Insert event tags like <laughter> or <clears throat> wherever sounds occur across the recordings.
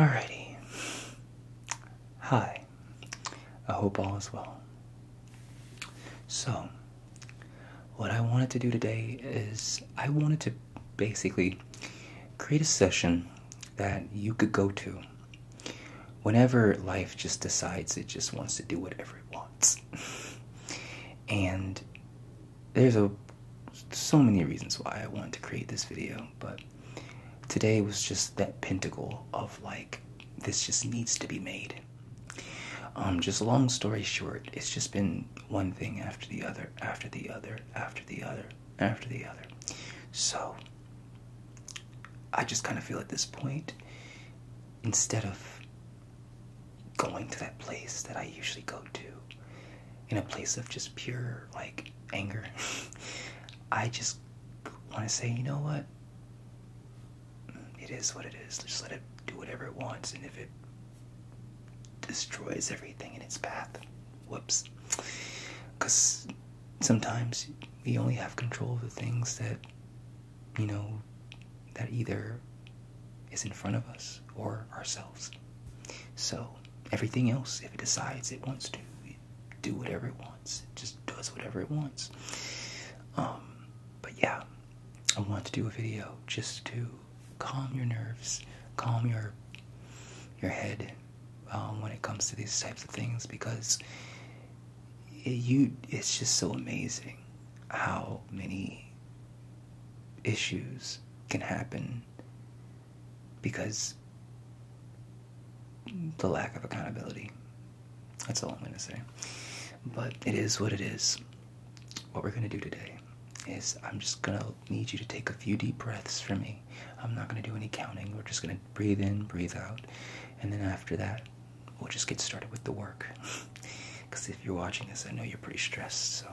Alrighty. Hi. I hope all is well. So, what I wanted to do today is I wanted to basically create a session that you could go to whenever life just decides it just wants to do whatever it wants. <laughs> and there's a so many reasons why I wanted to create this video, but Today was just that pentacle of like, this just needs to be made. Um, just long story short, it's just been one thing after the other, after the other, after the other, after the other. So, I just kind of feel at this point, instead of going to that place that I usually go to, in a place of just pure, like, anger, <laughs> I just want to say, you know what? it is what it is. Just let it do whatever it wants, and if it destroys everything in its path, whoops. Because sometimes we only have control of the things that, you know, that either is in front of us or ourselves. So everything else, if it decides it wants to, do whatever it wants. just does whatever it wants. Um, but yeah, I want to do a video just to calm your nerves, calm your your head um, when it comes to these types of things because it, you it's just so amazing how many issues can happen because the lack of accountability. That's all I'm going to say. But it is what it is. What we're going to do today is I'm just going to need you to take a few deep breaths for me. I'm not going to do any counting. We're just going to breathe in, breathe out. And then after that, we'll just get started with the work. Because <laughs> if you're watching this, I know you're pretty stressed. So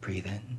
breathe in,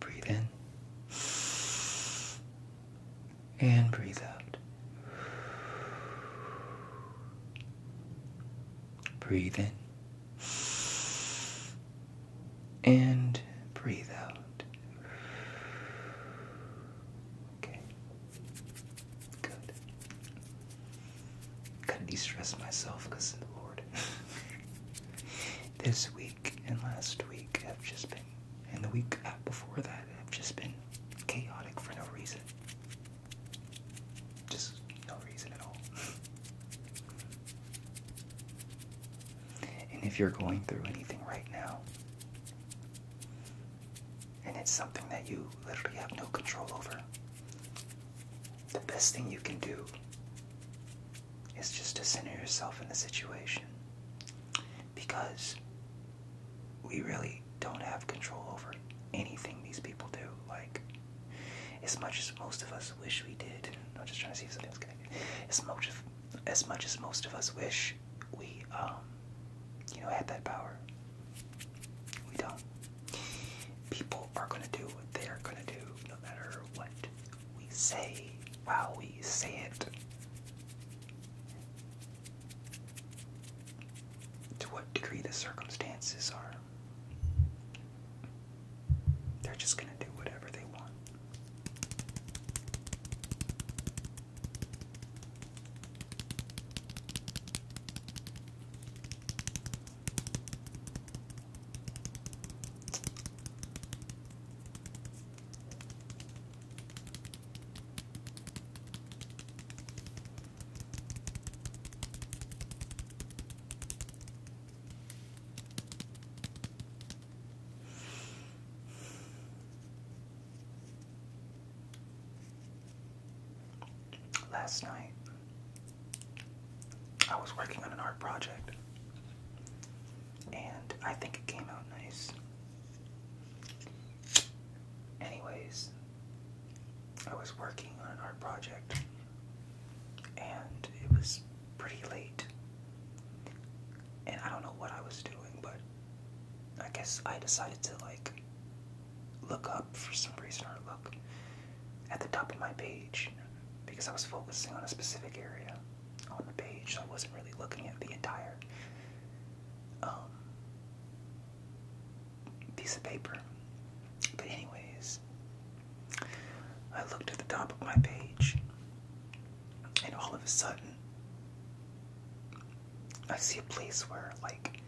Breathe in and breathe out. Breathe in and breathe out. Okay. Good. Gotta de stress myself because, Lord, <laughs> this week and last week have just been, and the week before that have just been chaotic for no reason. Just no reason at all. and if you're going through anything right now, and it's something that you literally have no control over, the best thing you can do it's just to center yourself in the situation because we really don't have control over anything these people do. Like, as much as most of us wish we did, I'm just trying to see if something's connected. As much as, as much as most of us wish we, um, you know, had that power, we don't. People are gonna do what they're gonna do, no matter what we say while we say it. To what degree the circumstances are. They're just going to do whatever they want. Last night, I was working on an art project and I think it came out nice. Anyways, I was working on an art project and it was pretty late. And I don't know what I was doing, but I guess I decided to like look up for some reason or look at the top of my page because I was focusing on a specific area on the page, I wasn't really looking at the entire um, piece of paper. But anyways, I looked at the top of my page, and all of a sudden, I see a place where like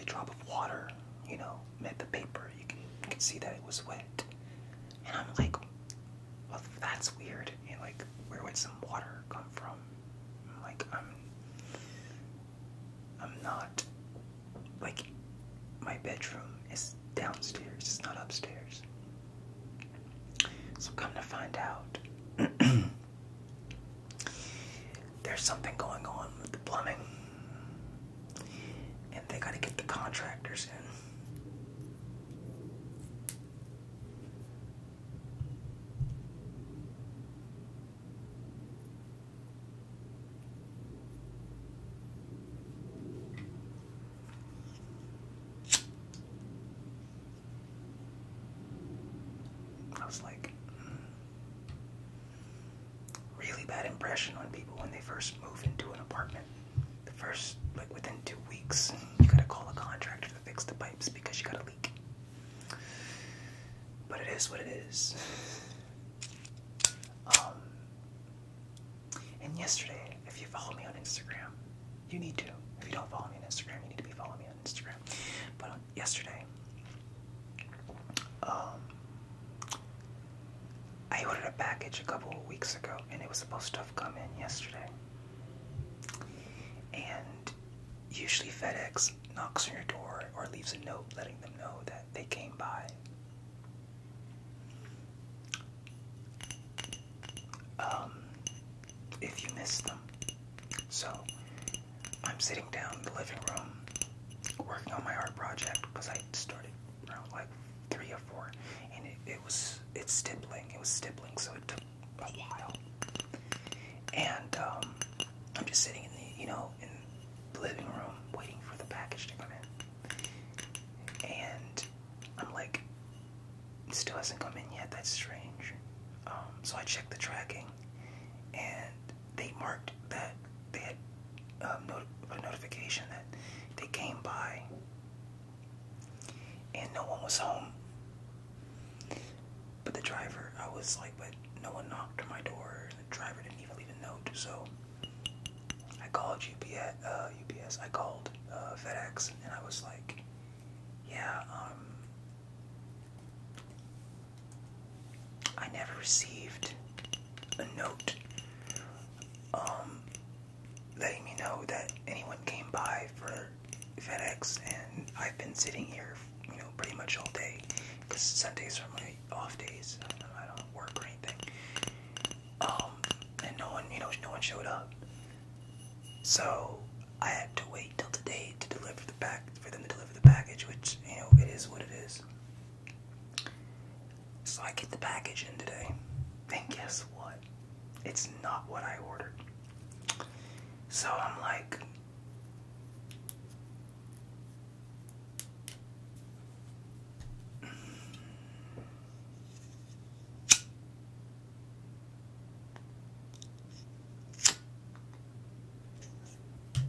a drop of water, you know, met the paper. you can see that it was wet. And I'm like, well, that's weird. And like, where would some water come from? like, I'm, I'm not, like, my bedroom is downstairs, it's not upstairs. So come to find out, <clears throat> there's something going on with the plumbing and they got to get the contractors in. I was like, mm. really bad impression on people when they first move into an apartment the first like within two weeks you gotta call a contractor to fix the pipes because you got a leak. But it is what it is. Um, and yesterday, if you follow me on Instagram, you need to. If you don't follow me on Instagram, you need to be following me on Instagram. But on um, yesterday, um, I ordered a package a couple of weeks ago and it was supposed to have come in yesterday. And usually FedEx knocks on your door or leaves a note letting them know that they came by. Um, if you miss them. So I'm sitting down in the living room working on my art project because I started I like three or four, and it, was it's stippling. It was stippling, so it took a while. And um, I'm just sitting in the you know in the living room waiting for the package to come in, and I'm like, it still hasn't come in yet. That's strange. Um, so I checked the tracking, and they marked that they had um, a notification that they came by and no one was home. But the driver, I was like, but no one knocked on my door, and the driver didn't even leave a note. So I called UPS. Uh, UPS. I called uh, FedEx, and I was like, yeah, um, I never received a note. Um, letting me know that anyone came by for FedEx, and I've been sitting here, you know, pretty much all day because Sundays are my off days. I don't, I don't work or anything. Um, and no one, you know, no one showed up. So I had to wait till today to deliver the pack for them to deliver the package, which you know it is what it is. So I get the package in today. And guess what? It's not what I ordered. So I'm like,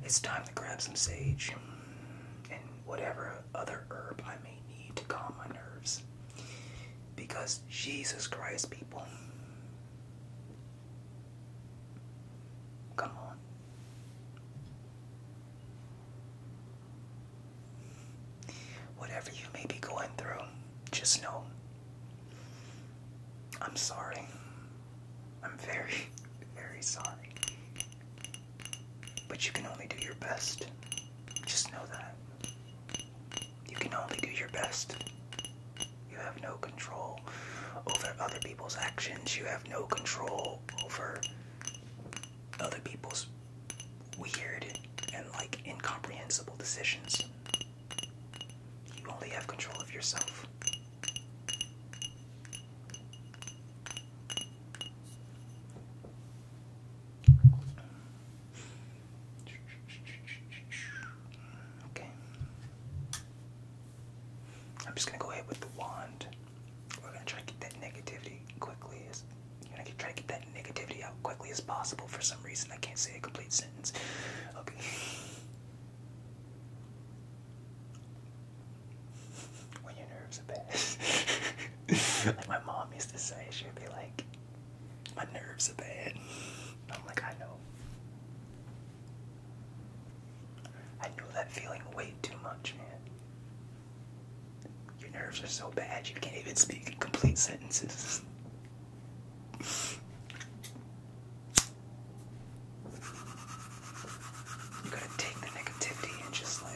it's time to grab some sage and whatever other herb I may need to calm my nerves. Because Jesus Christ, people. Come on. Whatever you may be going through, just know I'm sorry. I'm very, <laughs> very sorry. But you can only do your best. Just know that. You can only do your best. You have no control over other people's actions. You have no control over other people's weird and like incomprehensible decisions. You only have control of yourself. Okay. I'm just gonna go ahead with the wand. We're gonna try to get that negativity quickly as you're gonna try to get that negativity out quickly as possible. For some reason, I can't say a complete sentence. Okay. <laughs> when your nerves are bad. <laughs> like my mom used to say, she'd be like, my nerves are bad. I'm like, I know. I know that feeling way too much, man. Your nerves are so bad you can't even speak in complete sentences. You gotta take the negativity and just like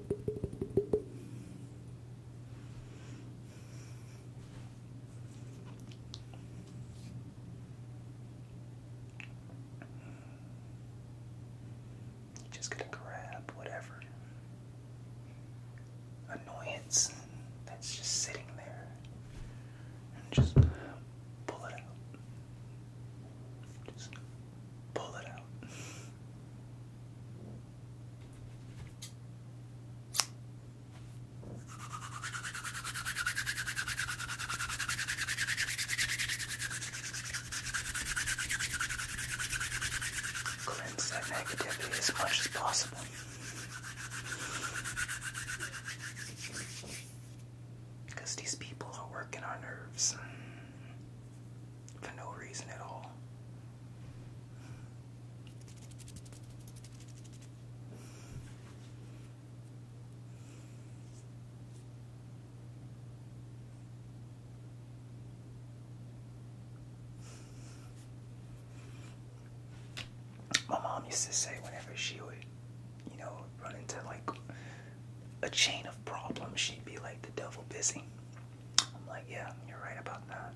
Just gonna grab whatever annoyance that's just sitting there and just pull it out. Just pull it out. Cleanse that negativity as much as possible. Because these people are working our nerves for no reason at all. My mom used to say whenever she would, you know, run into like a chain of problems, she'd be like the devil busy. I'm like, yeah, you're right about that.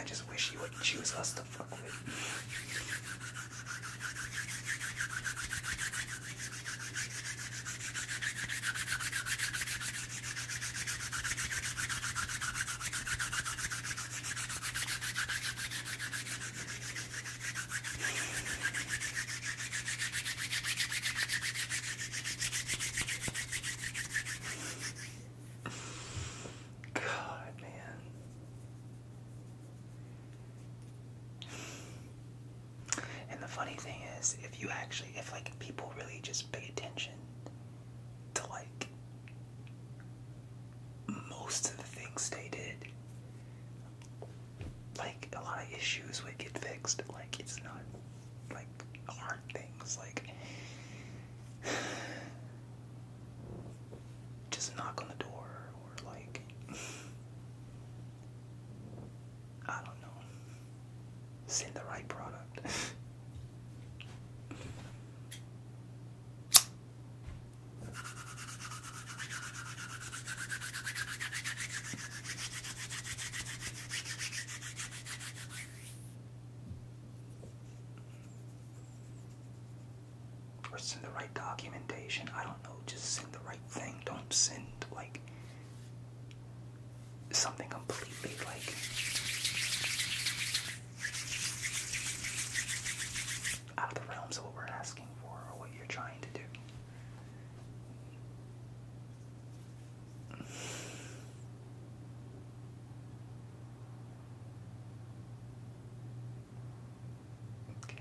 I just wish you would choose us to fuck with. God, man. And the funny thing is, if you actually, if like people really just pay attention to like most of the things they did. Like a lot of issues would get fixed. Like it's not like hard things. Like <sighs> just knock on the door or like <sighs> I don't know. Send the right product. or send the right documentation. I don't know. Just send the right thing. Don't send like something completely like out of the realms of what we're asking for or what you're trying to do. Okay.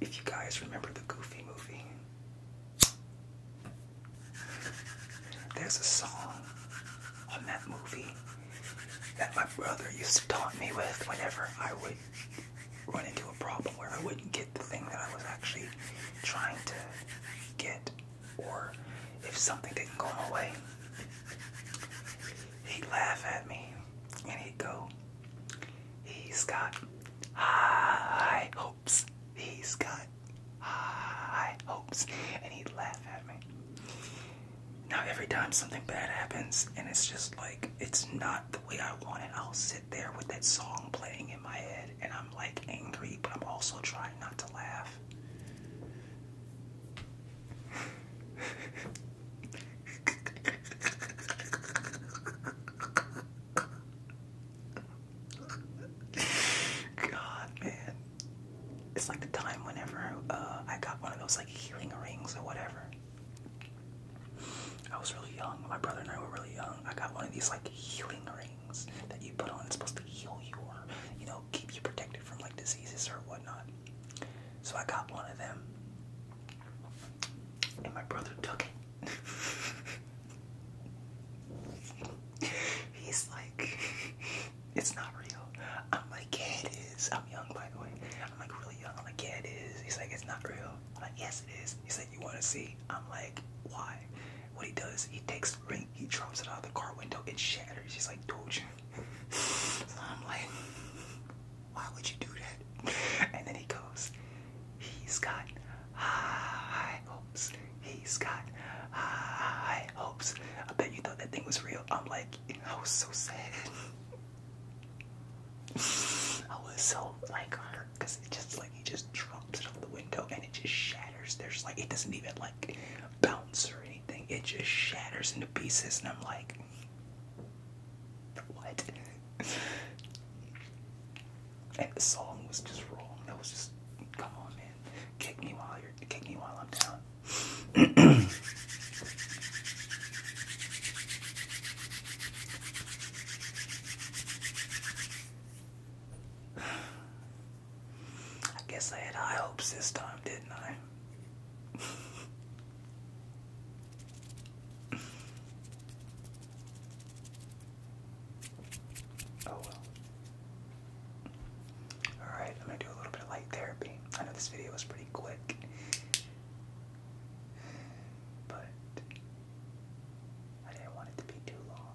If you guys remember the Goofy movie, there's a song on that movie that my brother used to taunt me with whenever I would run into a problem where I wouldn't get the thing that I was actually trying to get or if something didn't go my way, he'd laugh at me and he'd go, He's got high hopes. He's got high hopes. And he'd laugh at me. Now, every time something bad happens and it's just like, it's not the way I want it, I'll sit there with that song playing in my head and I'm like angry, but I'm also trying not to laugh. God, man. It's like the time whenever uh, I got one of those like healing rings or whatever. I was really young. My brother and I were really young. I got one of these like healing rings that you put on. It's supposed to heal you or, you know, keep you protected from like diseases or whatnot. So I got one of them, and my brother took it. <laughs> He's like, <laughs> it's not real. I'm like, it is. I'm young, by the way. I'm like really young. I'm like, yeah, it is. He's like, it's not real. I'm like, yes, it is. He said, you want to see? I'm like, why? What he does, he takes the ring, he drops it out of the car window, it shatters. He's like, dude. <laughs> so I'm like, why would you do that? <laughs> And then he goes, he's got high hopes. He's got high hopes. I bet you thought that thing was real. I'm like, I was so sad. <laughs> I was so like hurt because it just like he just drops it out of the window and it just shatters. There's like it doesn't even like bounce or anything. Then It just shatters into pieces, and I'm like, what? <laughs> and the song was just wrong. That was just, come on, man, kick me while you're, kick me while I'm down. <clears throat> I guess I had high hopes this time, didn't I? oh Alright, I'm gonna do a little bit of light therapy. I know this video was pretty quick, but I didn't want it to be too long.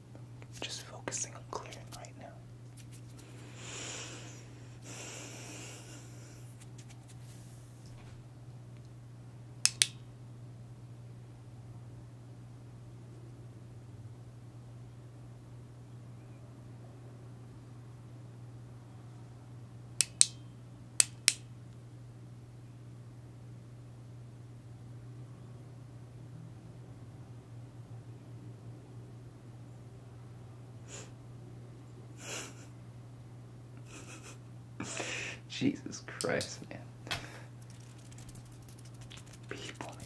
Just focusing on clearing right now. <laughs> Jesus Christ, man. People, man.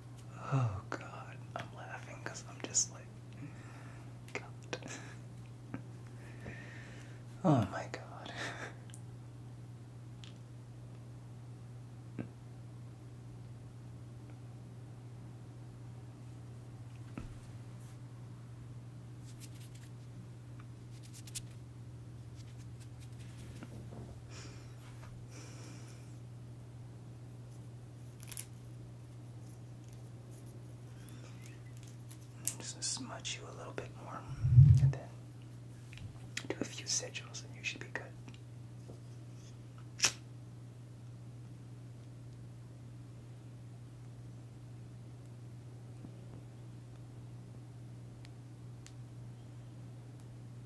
Oh god, I'm laughing because I'm just like, God. oh my god just smudge you a little bit more and then do a few sigils and you should be good.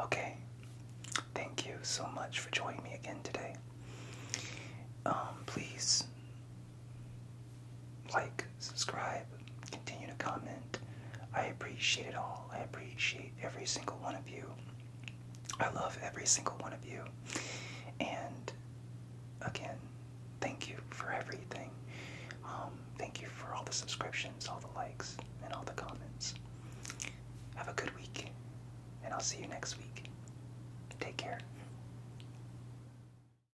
Okay, thank you so much for joining me again today. Um, please like, subscribe, continue to comment. I appreciate it all. I appreciate every single one of you. I love every single one of you. And again, thank you for everything. Um, thank you for all the subscriptions, all the likes, and all the comments. Have a good week, and I'll see you next week. Take care.